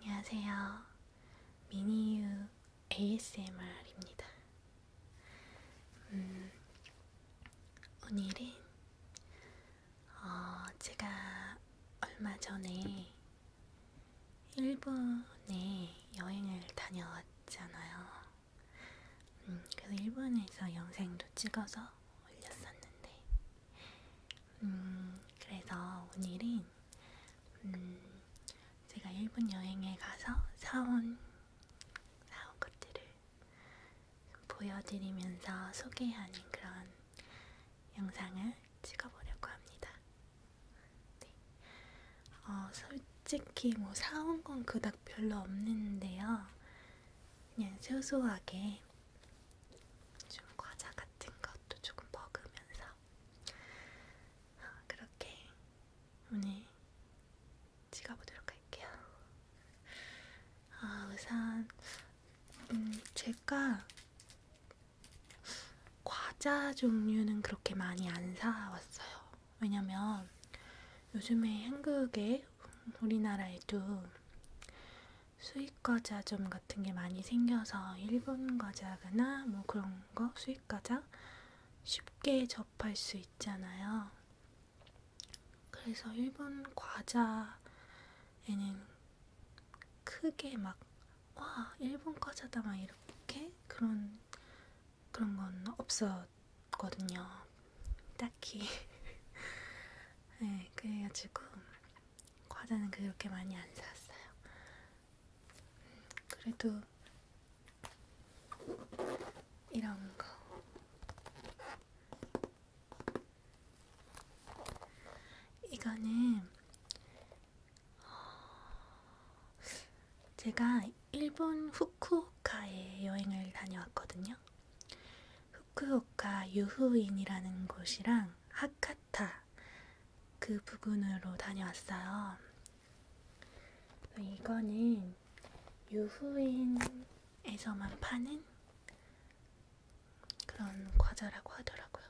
안녕하세요. 미니유 ASMR입니다. 음, 오늘은 어, 제가 얼마 전에 일본에 여행을 다녀왔잖아요. 음, 그래서 일본에서 영상도 찍어서 올렸었는데 음, 그래서 오늘은 음, 제가 일본 여행에 가서 사온 사온 것들을 보여드리면서 소개하는 그런 영상을 찍어보려고 합니다. 네. 어, 솔직히 뭐 사온 건 그닥 별로 없는데요. 그냥 소소하게 좀 과자 같은 것도 조금 먹으면서 아, 그렇게 오늘 찍어보도록 할게요. 아, 우선 음, 제가 과자 종류는 그렇게 많이 안 사왔어요. 왜냐면 요즘에 한국에 우리나라에도 수입 과자 좀 같은 게 많이 생겨서 일본 과자나 뭐 그런 거 수입 과자 쉽게 접할 수 있잖아요. 그래서 일본 과자에는 크게 막 와, 일본 과자다 막 이렇게 그런 그런 건 없었거든요. 딱히 네, 그래가지고 과자는 그렇게 많이 안 샀어요. 그래도 이런 거. 이거는 제가 일본 후쿠오카에 여행을 다녀왔거든요. 후쿠오카 유후인이라는 곳이랑 하카타 그 부근으로 다녀왔어요. 이거는 유후인에서만 파는 그런 과자라고 하더라고요.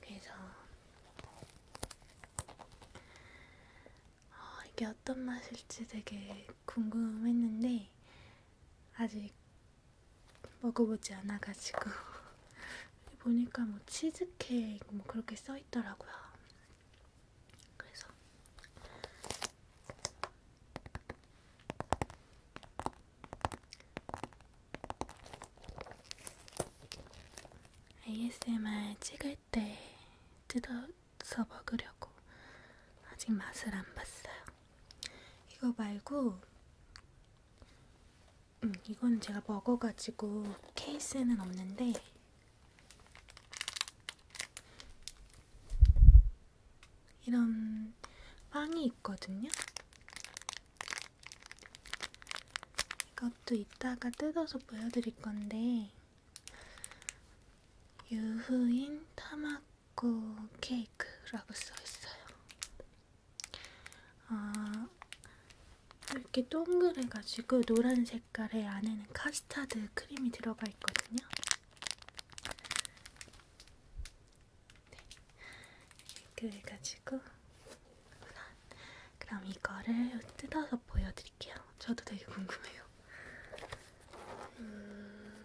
그래서 어, 이게 어떤 맛일지 되게 궁금했는데 아직 먹어보지 않아가지고 보니까 뭐 치즈케이크 뭐 그렇게 써있더라고요. 그래서 ASMR 찍을 때 뜯어 써 먹으려고 아직 맛을 안 봤어요. 이거 말고 음, 이건 제가 먹어가지고 케이스에는 없는데 이런 빵이 있거든요. 이것도 이따가 뜯어서 보여드릴 건데 유후인 타막 초코 그 케이크라고 써있어요. 아, 이렇게 동그래가지고 노란 색깔에 안에는 카스타드 크림이 들어가 있거든요. 네. 이렇게 해가지고 그럼 이거를 뜯어서 보여드릴게요. 저도 되게 궁금해요. 음,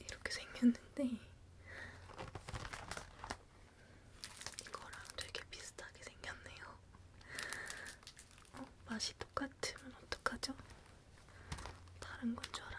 이렇게 생겼는데 이거랑 되게 비슷하게 생겼네요. 어, 맛이 똑같으면 어떡하죠? 다른 건 줄 알았는데.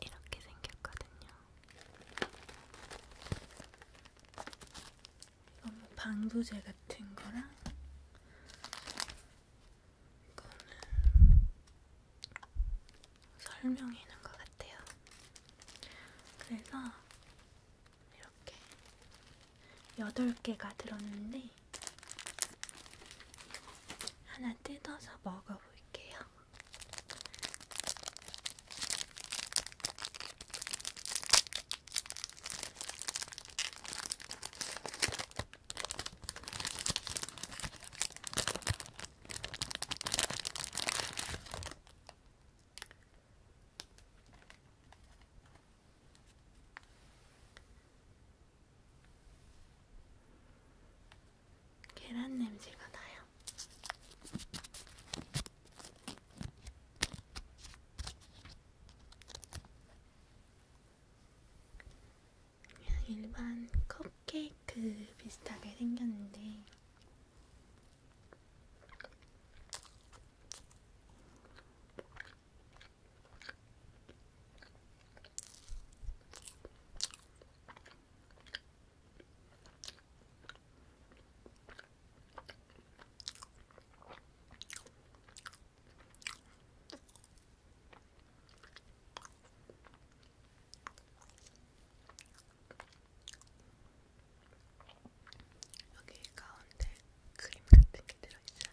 이렇게 생겼거든요. 이건 뭐 방부제 같은 거랑 이거는 설명이는 것 같아요. 그래서 이렇게 8개가 들었는데 하나 뜯어서 먹어볼게요. 계란 냄새가 나요. 그냥 일반 컵케이크 비슷하게 생겼는데 여기 가운데 크림 같은 게 들어있어요.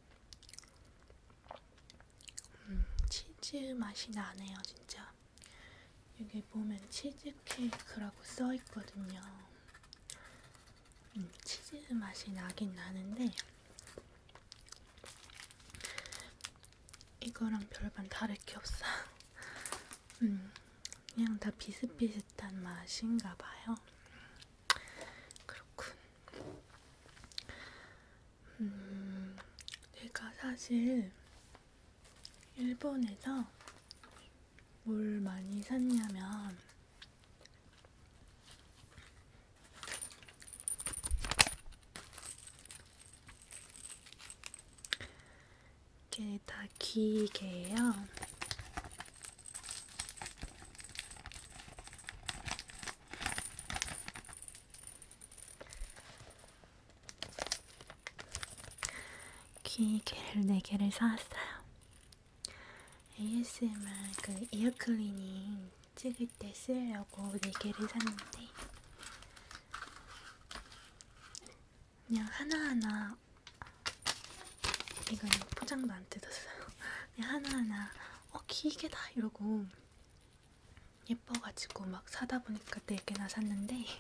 음, 치즈 맛이 나네요, 진짜. 여기 보면 치즈 케이크라고 써 있거든요. 음, 치즈 맛이 나긴 나는데 이거랑 별반 다를 게 없어. 음, 그냥 다 비슷비슷한 맛인가 봐요. 그렇군. 음, 제가 사실 일본에서 뭘 많이 샀냐면 이게 다 기계예요. 귀개를 4개를 사왔어요. ASMR 그 이어 클리닝 찍을 때 쓰려고 4개를 샀는데 그냥 하나하나 이건 포장도 안 뜯었어요. 그냥 하나하나 어 기계다 이러고 예뻐가지고 막 사다 보니까 4개나 샀는데 이게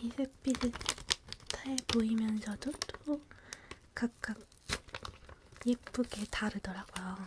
비슷비슷해 보이면서도 또 각각 예쁘게 다르더라고요.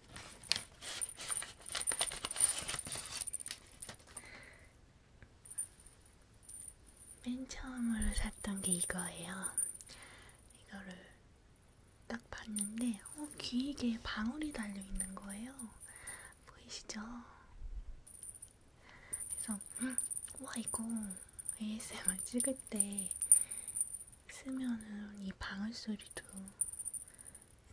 맨 처음으로 샀던 게 이거예요. 이거를 딱 봤는데, 어, 귀에 방울이 달려 있는 거예요. 보이시죠? 그래서, 음, 와, 이거 ASMR 찍을 때 쓰면은 이 방울 소리도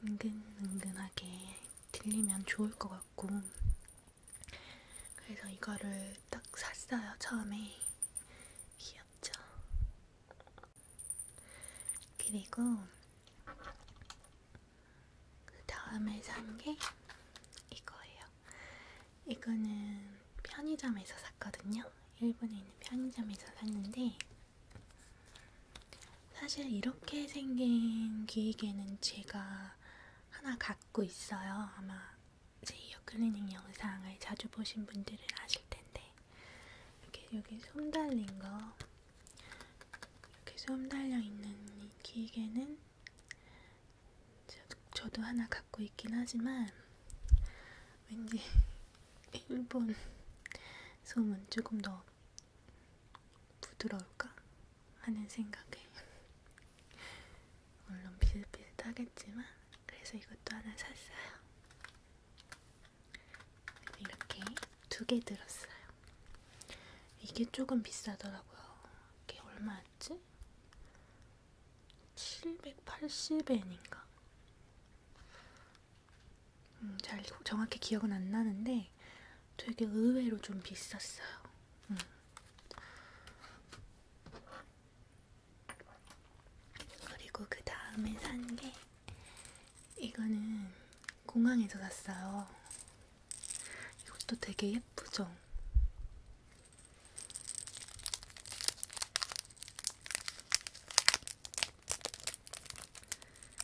은근은근하게 들리면 좋을 것 같고 그래서 이거를 딱 샀어요 처음에 귀엽죠? 그리고 그 다음에 산 게 이거예요 이거는 편의점에서 샀거든요 일본에 있는 편의점에서 샀는데 사실 이렇게 생긴 기계는 제가 하나 갖고 있어요. 아마 제 이어 클리닝 영상을 자주 보신 분들은 아실 텐데 이렇게 여기 솜 달린 거 이렇게 솜 달려 있는 이 기계는 저도 하나 갖고 있긴 하지만 왠지 일본 솜은 조금 더 부드러울까 하는 생각에 물론 비슷비슷하겠지만 그래서 이것도 하나 샀어요. 이렇게 두 개 들었어요. 이게 조금 비싸더라고요. 이게 얼마였지? 780엔인가? 음, 잘 정확히 기억은 안 나는데 되게 의외로 좀 비쌌어요. 음. 그리고 그 다음에 산 게 이거는 공항에서 샀어요. 이것도 되게 예쁘죠?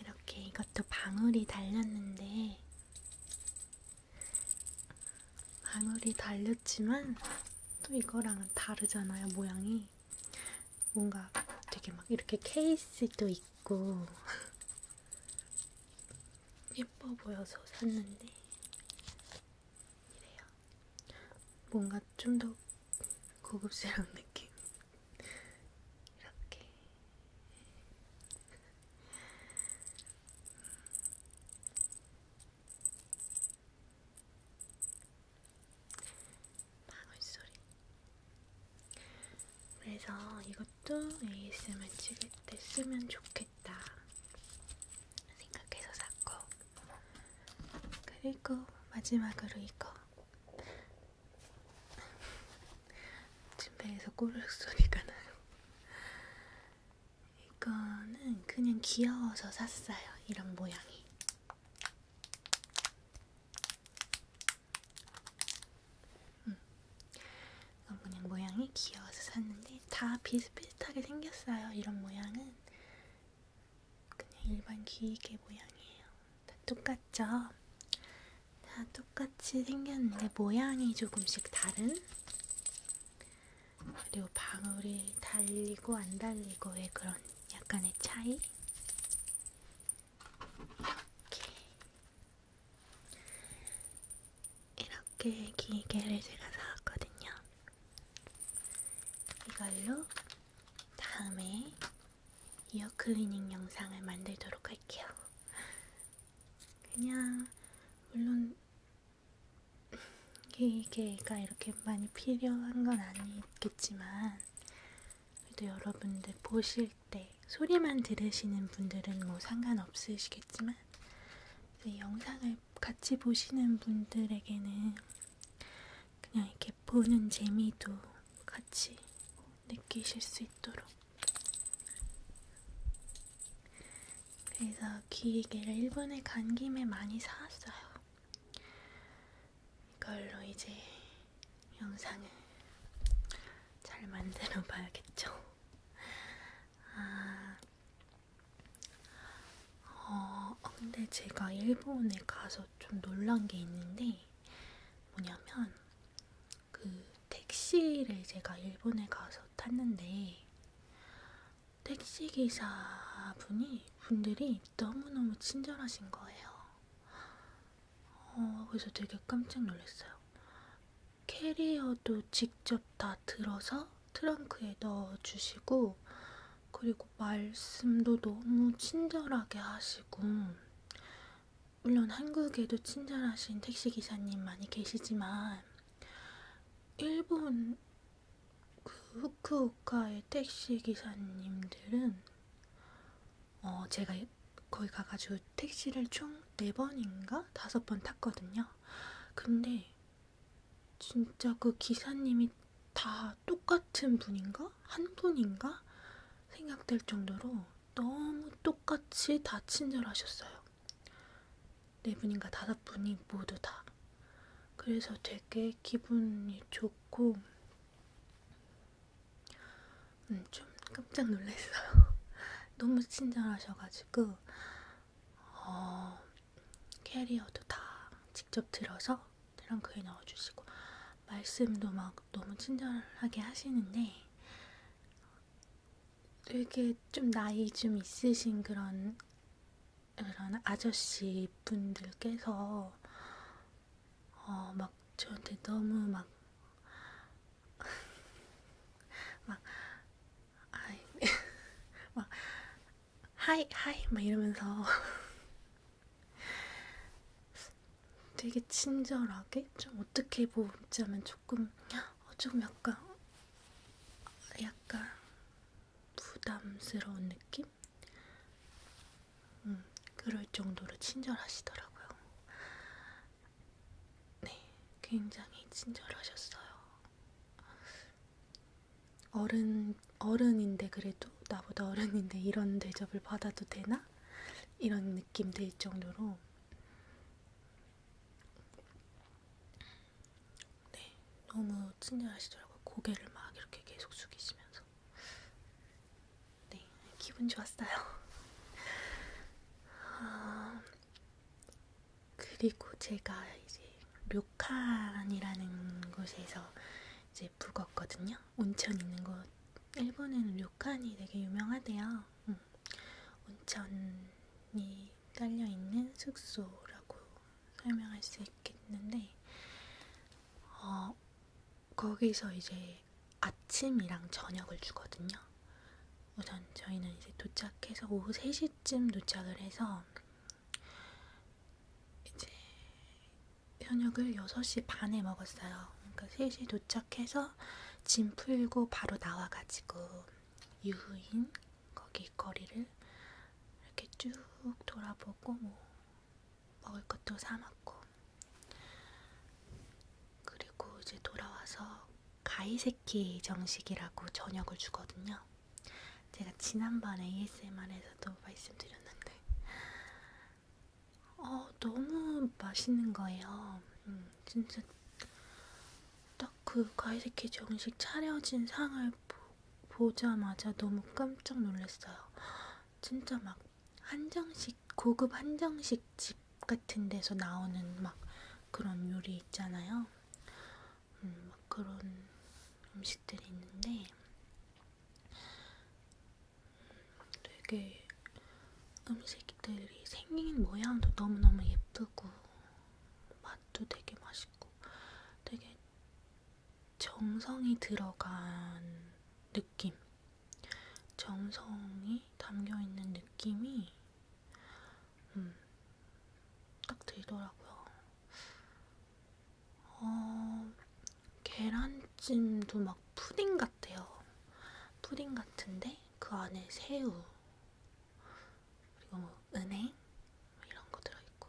이렇게 이것도 방울이 달렸는데, 방울이 달렸지만, 또 이거랑은 다르잖아요, 모양이. 뭔가 되게 막 이렇게 케이스도 있고, 예뻐 보여서 샀는데, 이래요. 뭔가 좀 더 고급스러운 느낌. 이렇게. 방울소리. 그래서 이것도 ASMR 찍을 때 쓰면 좋겠다 생각해서 샀고 그리고 마지막으로 이거 침대에서 꼬르륵 소리가 나요. 이거는 그냥 귀여워서 샀어요. 이런 모양이. 음. 이건 그냥 모양이 귀여워서 샀는데 다 비슷비슷하게 생겼어요. 이런 모양은 그냥 일반 귀이개 모양이에요. 다 똑같죠? 다 똑같이 생겼는데 모양이 조금씩 다른? 그리고 방울이 달리고 안 달리고의 그런 약간의 차이? 이렇게, 이렇게 기계를 제가 사왔거든요. 이걸로 다음에 이어 클리닝 영상을 만들도록 할게요. 그냥 물론 기계가 이렇게 많이 필요한 건 아니겠지만 그래도 여러분들 보실 때 소리만 들으시는 분들은 뭐 상관없으시겠지만 네, 영상을 같이 보시는 분들에게는 그냥 이렇게 보는 재미도 같이 느끼실 수 있도록 그래서 기계를 일본에 간 김에 많이 사왔어요. 이걸로 이제 영상을 잘 만들어 봐야겠죠. 아, 어, 어, 근데 제가 일본에 가서 좀 놀란 게 있는데 뭐냐면 그 택시를 제가 일본에 가서 탔는데 택시 기사분이 분들이 너무너무 친절하신 거예요. 어, 그래서 되게 깜짝 놀랐어요. 캐리어도 직접 다 들어서 트렁크에 넣어주시고, 그리고 말씀도 너무 친절하게 하시고, 물론 한국에도 친절하신 택시기사님 많이 계시지만, 일본 그 후쿠오카의 택시기사님들은, 어, 제가 거기 가가지고 택시를 총 4번인가? 5번 탔거든요. 근데 진짜 그 기사님이 다 똑같은 분인가? 한 분인가? 생각될 정도로 너무 똑같이 다 친절하셨어요. 네 분인가 다섯 분이 모두 다. 그래서 되게 기분이 좋고, 음, 좀 깜짝 놀랐어요. 너무 친절하셔가지고, 어, 캐리어도 다 직접 들어서 트렁크에 넣어주시고 말씀도 막 너무 친절하게 하시는데 되게 좀 나이 좀 있으신 그런 그런 아저씨 분들께서 어, 막 저한테 너무 막 막, 아이, 막, 하이 하이 막 이러면서 되게 친절하게 좀 어떻게 보자면 조금 어, 좀 약간 약간 부담스러운 느낌? 음, 그럴 정도로 친절하시더라고요. 네, 굉장히 친절하셨어요. 어른, 어른인데 그래도 나보다 어른인데 이런 대접을 받아도 되나? 이런 느낌 들 정도로 네, 너무 친절하시더라고요. 고개를 막 이렇게 계속 숙이시면서 네, 기분 좋았어요. 아, 그리고 제가 이제 료, 료칸이라는 곳에서 이제 묵었거든요. 온천 있는 곳. 일본에는 료칸이 되게 유명하대요. 응. 음. 온천이 딸려있는 숙소라고 설명할 수 있겠는데, 어, 거기서 이제 아침이랑 저녁을 주거든요. 우선 저희는 이제 도착해서 오후 3시쯤 도착을 해서 이제 저녁을 6시 반에 먹었어요. 그러니까 3시 도착해서 짐 풀고 바로 나와가지고 유후인 거기 거리를 이렇게 쭉 돌아보고 뭐 먹을 것도 사 먹고 그리고 이제 돌아와서 가이세키 정식이라고 저녁을 주거든요. 제가 지난번에 ASMR에서도 말씀드렸는데 어, 너무 맛있는 거예요. 음, 진짜 딱그 과일새끼 정식 차려진 상을 보, 보자마자 너무 깜짝 놀랐어요. 진짜 막 한정식 고급 한정식 집 같은 데서 나오는 막 그런 요리 있잖아요. 음, 막 그런 음식들이 있는데 음, 되게 음식들이 생긴 모양도 너무너무 예쁘고 맛도 되게 맛있고 되게 정성이 들어간 느낌 정성이 담겨있는 느낌이 음, 딱 들더라고요. 어, 계란찜도 막 푸딩 같아요. 푸딩 같은데 그 안에 새우 그리고 뭐 은행 이런 거 들어있고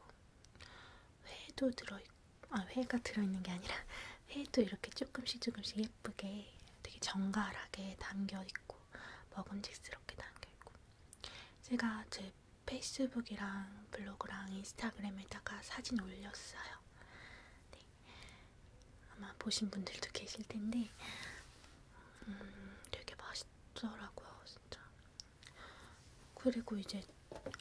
회도 들어있고 아 회가 들어있는 게 아니라 회도 이렇게 조금씩 조금씩 예쁘게 되게 정갈하게 담겨있고 먹음직스럽게 담겨있고 제가 제 페이스북이랑 블로그랑 인스타그램에다가 사진 올렸어요. 네. 아마 보신 분들도 계실 텐데 음, 되게 맛있더라고요, 진짜. 그리고 이제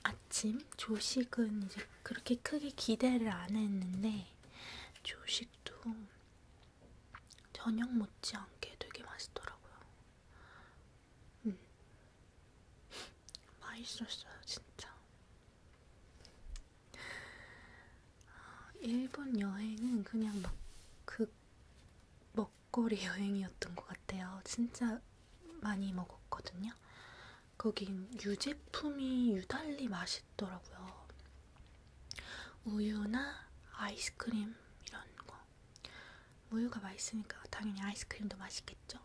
아침 조식은 이제 그렇게 크게 기대를 안 했는데 조식도 저녁 못지않게 되게 맛있더라고요. 음. 맛있었어요, 진짜. 아, 일본 여행은 그냥 막 그 먹거리 여행이었던 것 같아요. 진짜 많이 먹었거든요. 거긴 유제품이 유달리 맛있더라고요. 우유나 아이스크림 이런 거. 우유가 맛있으니까 당연히 아이스크림도 맛있겠죠?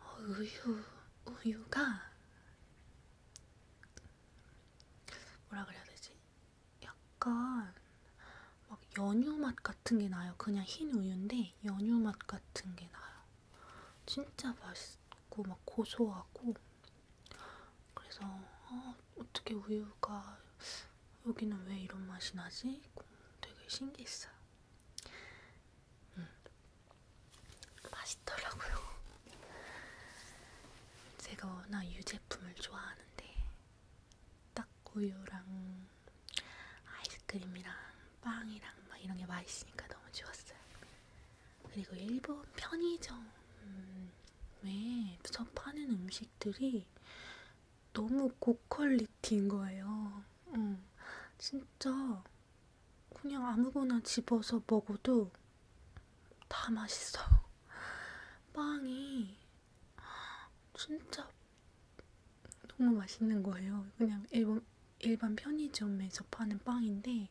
어, 우유, 우유가 뭐라 그래야 되지? 약간 막 연유 맛 같은 게 나요. 그냥 흰 우유인데 연유 맛 같은 게 나요. 진짜 맛있고 막 고소하고 그래서 어, 어떻게 우유가 여기는 왜 이런 맛이 나지? 되게 신기했어요. 음. 맛있더라고요. 제가 워낙 유제품을 좋아하는데 딱 우유랑 아이스크림이랑 빵이랑 막 이런 게 맛있으니까 너무 좋았어요. 그리고 일본 편의점에 서파는 음식들이 너무 고퀄리티인 거예요. 응. 어. 진짜 그냥 아무거나 집어서 먹어도 다 맛있어요. 빵이 진짜 너무 맛있는 거예요. 그냥 일본, 일반 편의점에서 파는 빵인데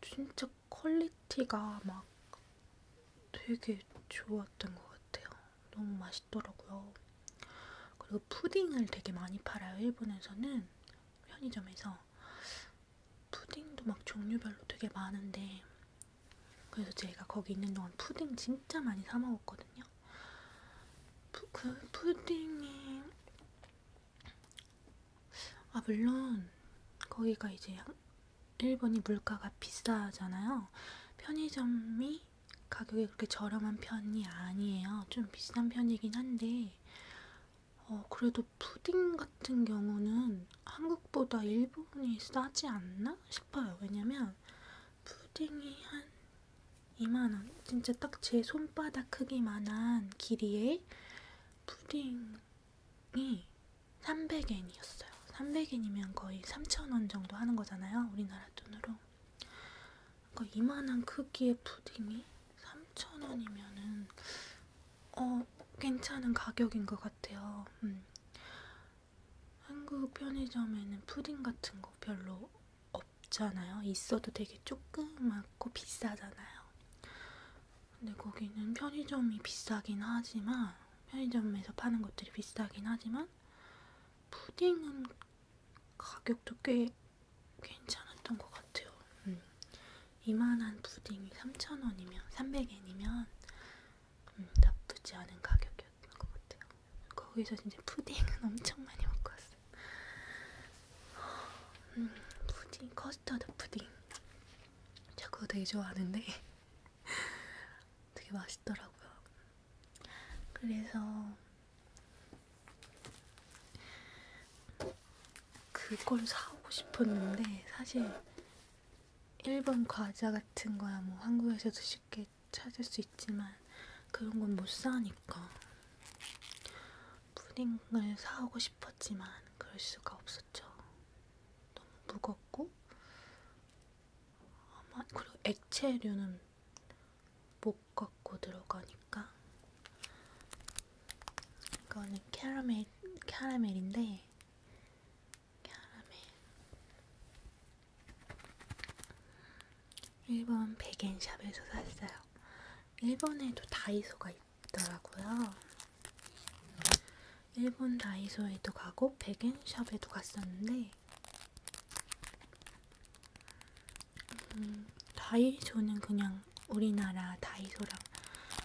진짜 퀄리티가 막 되게 좋았던 것 같아요. 너무 맛있더라고요. 그리고 푸딩을 되게 많이 팔아요. 일본에서는 편의점에서 푸딩도 막 종류별로 되게 많은데 그래서 제가 거기 있는 동안 푸딩 진짜 많이 사 먹었거든요. 푸, 그 푸딩이 아 물론 거기가 이제 일본이 물가가 비싸잖아요. 편의점이 가격이 그렇게 저렴한 편이 아니에요. 좀 비싼 편이긴 한데, 어, 그래도 푸딩 같은 경우는 한국보다 일본이 싸지 않나 싶어요. 왜냐면 푸딩이 한 2만원? 진짜 딱 제 손바닥 크기만한 길이의 푸딩이 300엔이었어요. 300엔이면 거의 3,000원 정도 하는 거잖아요. 우리나라 돈으로. 그러니까 이만한 크기의 푸딩이 3,000원이면은 어, 괜찮은 가격인 것 같아요. 음. 한국 편의점에는 푸딩 같은 거 별로 없잖아요. 있어도 되게 조그맣고 비싸잖아요. 근데 거기는 편의점이 비싸긴 하지만 편의점에서 파는 것들이 비싸긴 하지만 푸딩은 가격도 꽤 괜찮았던 것 같아요. 음. 이만한 푸딩이 3,000원이면 300엔이면 음, 나쁘지 않은 가격이었던 것 같아요. 거기서 진짜 푸딩은 엄청 많이 먹고 왔어요. 음, 푸딩, 커스터드 푸딩. 제가 그거 되게 좋아하는데 되게 맛있 맛있더라고요. 그래서 그걸 사오고 싶었는데 사실 일본 과자 같은 거야 뭐 한국에서도 쉽게 찾을 수 있지만 그런 건 못 사니까 푸딩을 사오고 싶었지만 그럴 수가 없었죠. 너무 무겁고 아마 그리고 액체류는 못 갖고 들어가니까 이거는 캐러멜 캐러멜인데 캐러멜 일본 백엔샵에서 샀어요. 일본에도 다이소가 있더라고요. 일본 다이소에도 가고 백엔샵에도 갔었는데 음, 다이소는 그냥 우리나라 다이소랑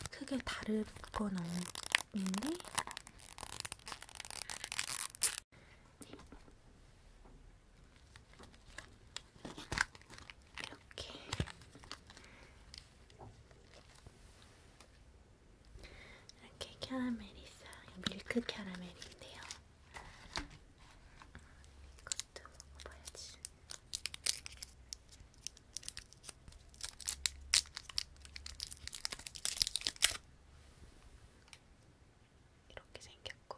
크게 다를 건 없는데 이렇게 이렇게 캐러멜이 있어요. 밀크 캐러멜인데요. 이것도 먹어봐야지. 이렇게 생겼고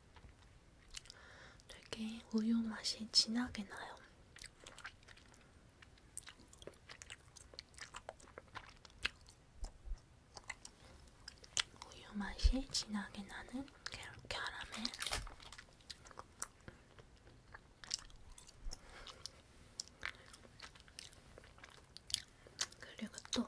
되게 우유 맛이 진하게 나요. 우유 맛이 진하게 나는 캐러멜. 그리고 또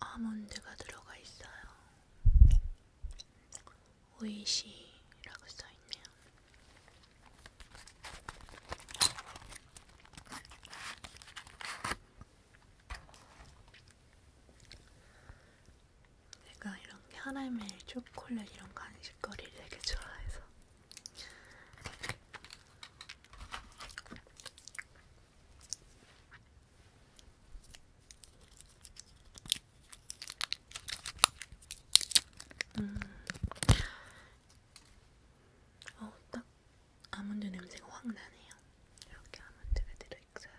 아몬드가 들어가 있어요. 오이시라고 써있네요. 제가 이런 캐러멜, 초콜릿 이런 간식거리를 되게 좋아해서 음. 어, 딱 아몬드 냄새가 확 나네요. 이렇게 아몬드가 들어있어요.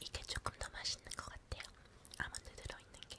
이게 조금 더 맛있는 것 같아요. 아몬드 들어있는 게.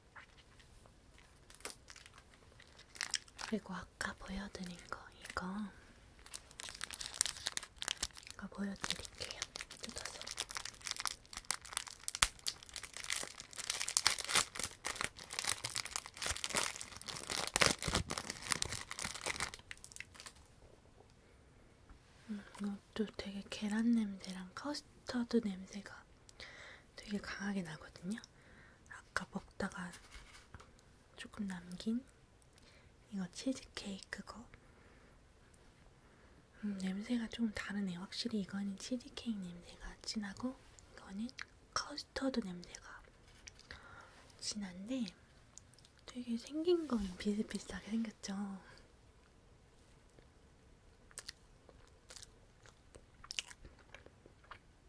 그리고 아까 보여드린 거 이거 이거 보여드릴게요. 뜯어서 음, 이것도 되게 계란 냄새랑 커스터드 냄새가 되게 강하게 나거든요. 아까 먹다가 조금 남긴 이거 치즈케이크거 음, 냄새가 좀 다르네. 확실히 이거는 치즈케이크 냄새가 진하고 이거는 커스터드 냄새가 진한데 되게 생긴 거 비슷비슷하게 생겼죠.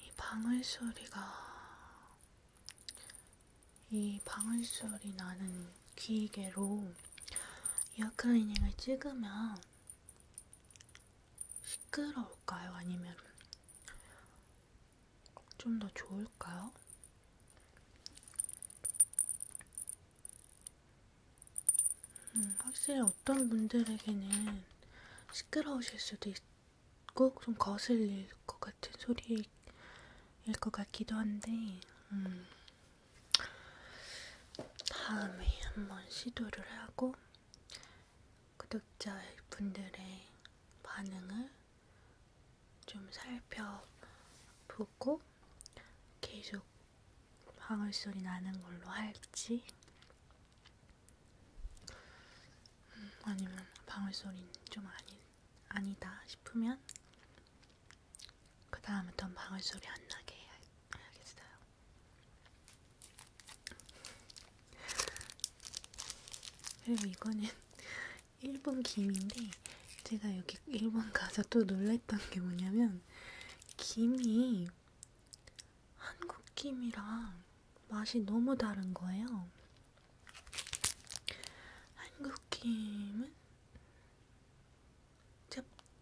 이 방울 소리가 이 방울소리 나는 귀이개로 이어클리닝을 찍으면 시끄러울까요? 아니면 좀 더 좋을까요? 음, 확실히 어떤 분들에게는 시끄러우실 수도 있, 꼭좀 거슬릴 것 같은 소리일 것 같기도 한데, 음, 다음에 한번 시도를 하고 구독자 분들의 반응을 좀 살펴보고 계속 방울 소리 나는 걸로 할지 음, 아니면 방울 소리는 좀 아닌. 아니다 싶으면 그 다음부터는 방울소리 안 나게 해야, 해야겠어요. 그리고 이거는 일본 김인데 제가 여기 일본 가서 또 놀랬던 게 뭐냐면 김이 한국 김이랑 맛이 너무 다른 거예요. 한국 김은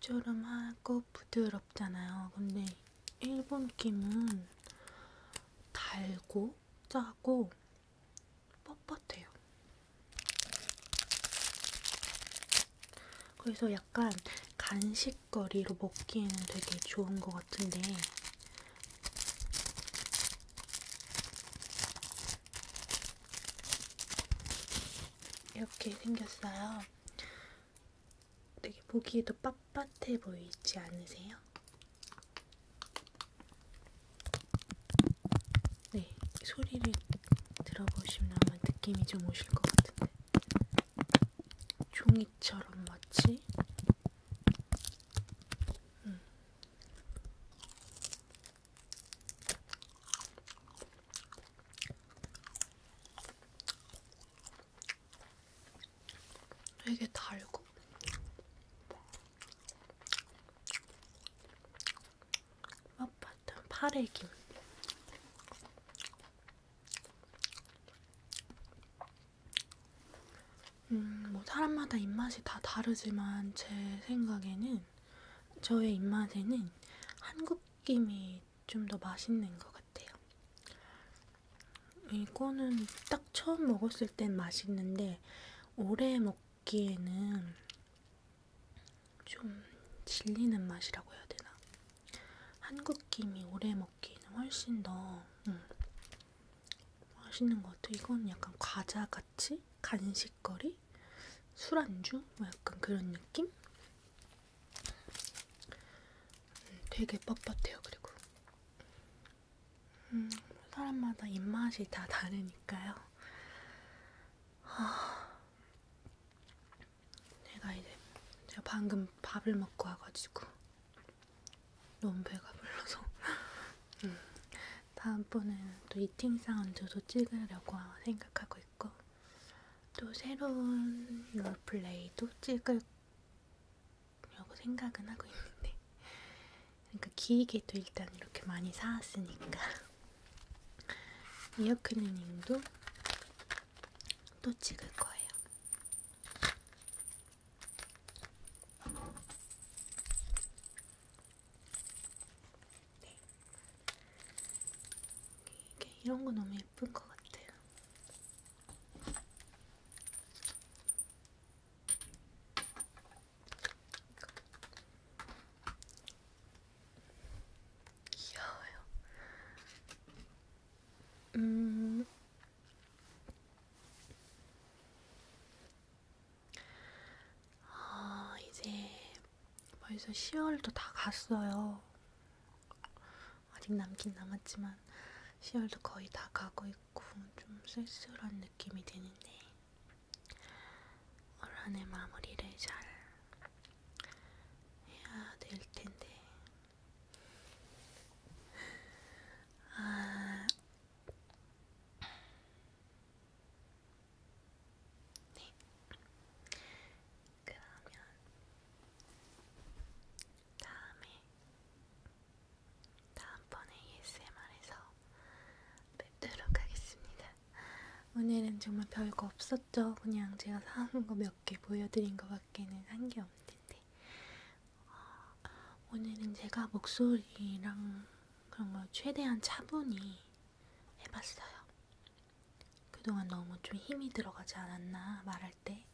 짭조름하고 부드럽잖아요. 근데 일본 김은 달고 짜고 뻣뻣해요. 그래서 약간 간식거리로 먹기에는 되게 좋은 것 같은데 이렇게 생겼어요. 되게 보기에도 빳빳해 보이지 않으세요? 네, 소리를 들어보시면 아마 느낌이 좀 오실 것 같은데 종이처럼 마치 음, 되게 달고 맛봤던 파래김 음, 뭐 사람마다 입맛이 다 다르지만 제 생각에는 저의 입맛에는 한국 김이 좀 더 맛있는 것 같아요. 이거는 딱 처음 먹었을 땐 맛있는데 오래 먹기에는 좀 질리는 맛이라고 해야 되나? 한국 김이 오래 먹기에는 훨씬 더 음, 맛있는 것 같아. 이건 약간 과자 같이 간식거리, 술안주, 뭐 약간 그런 느낌. 음, 되게 뻣뻣해요. 그리고 음, 사람마다 입맛이 다 다르니까요. 아, 내가 이제 제가 방금 밥을 먹고 와가지고. 너무 배가 불러서 음. 다음번에는 또 이팅 사운드도 찍으려고 생각하고 있고 또 새로운 롤플레이도 찍으려고 생각은 하고 있는데 그러니까 기기도 일단 이렇게 많이 사왔으니까 이어크리님도 또 찍을 거예요. 네. 이게 이런 거 너무 예쁜 것 같아요. 귀여워요. 음, 아, 이제 벌써 10월도 다 갔어요. 아직 남긴 남았지만 10월도 거의 다 가고 있고 좀 쓸쓸한 느낌이 드는데 올 한해 마무리를 잘 해야 될 텐데 아 네. 그러면 다음에 다음번에 ASMR에서 뵙도록 하겠습니다. 오늘은 정말 별거 없었죠. 그냥 제가 사온 거 몇 개 보여드린 거밖에는 산게 없는데 어, 오늘은 제가 목소리랑 그런 걸 최대한 차분히 해봤어요. 그동안 너무 좀 힘이 들어가지 않았나 말할 때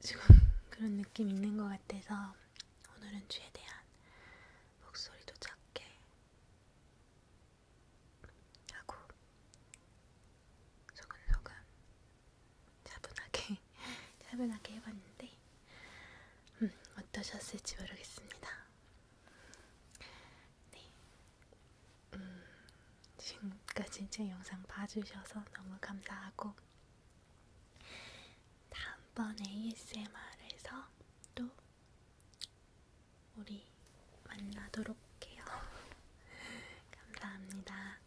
지금 그런 느낌 있는 것 같아서 오늘은 최대한 목소리도 작게 하고 소근소근 차분하게 차분하게 해봤는데 음, 어떠셨을지 모르겠습니다. 네, 음, 지금까지 제 영상 봐주셔서 너무 감사하고 다음번에 ASMR에서 또 우리 만나도록 해요. 감사합니다.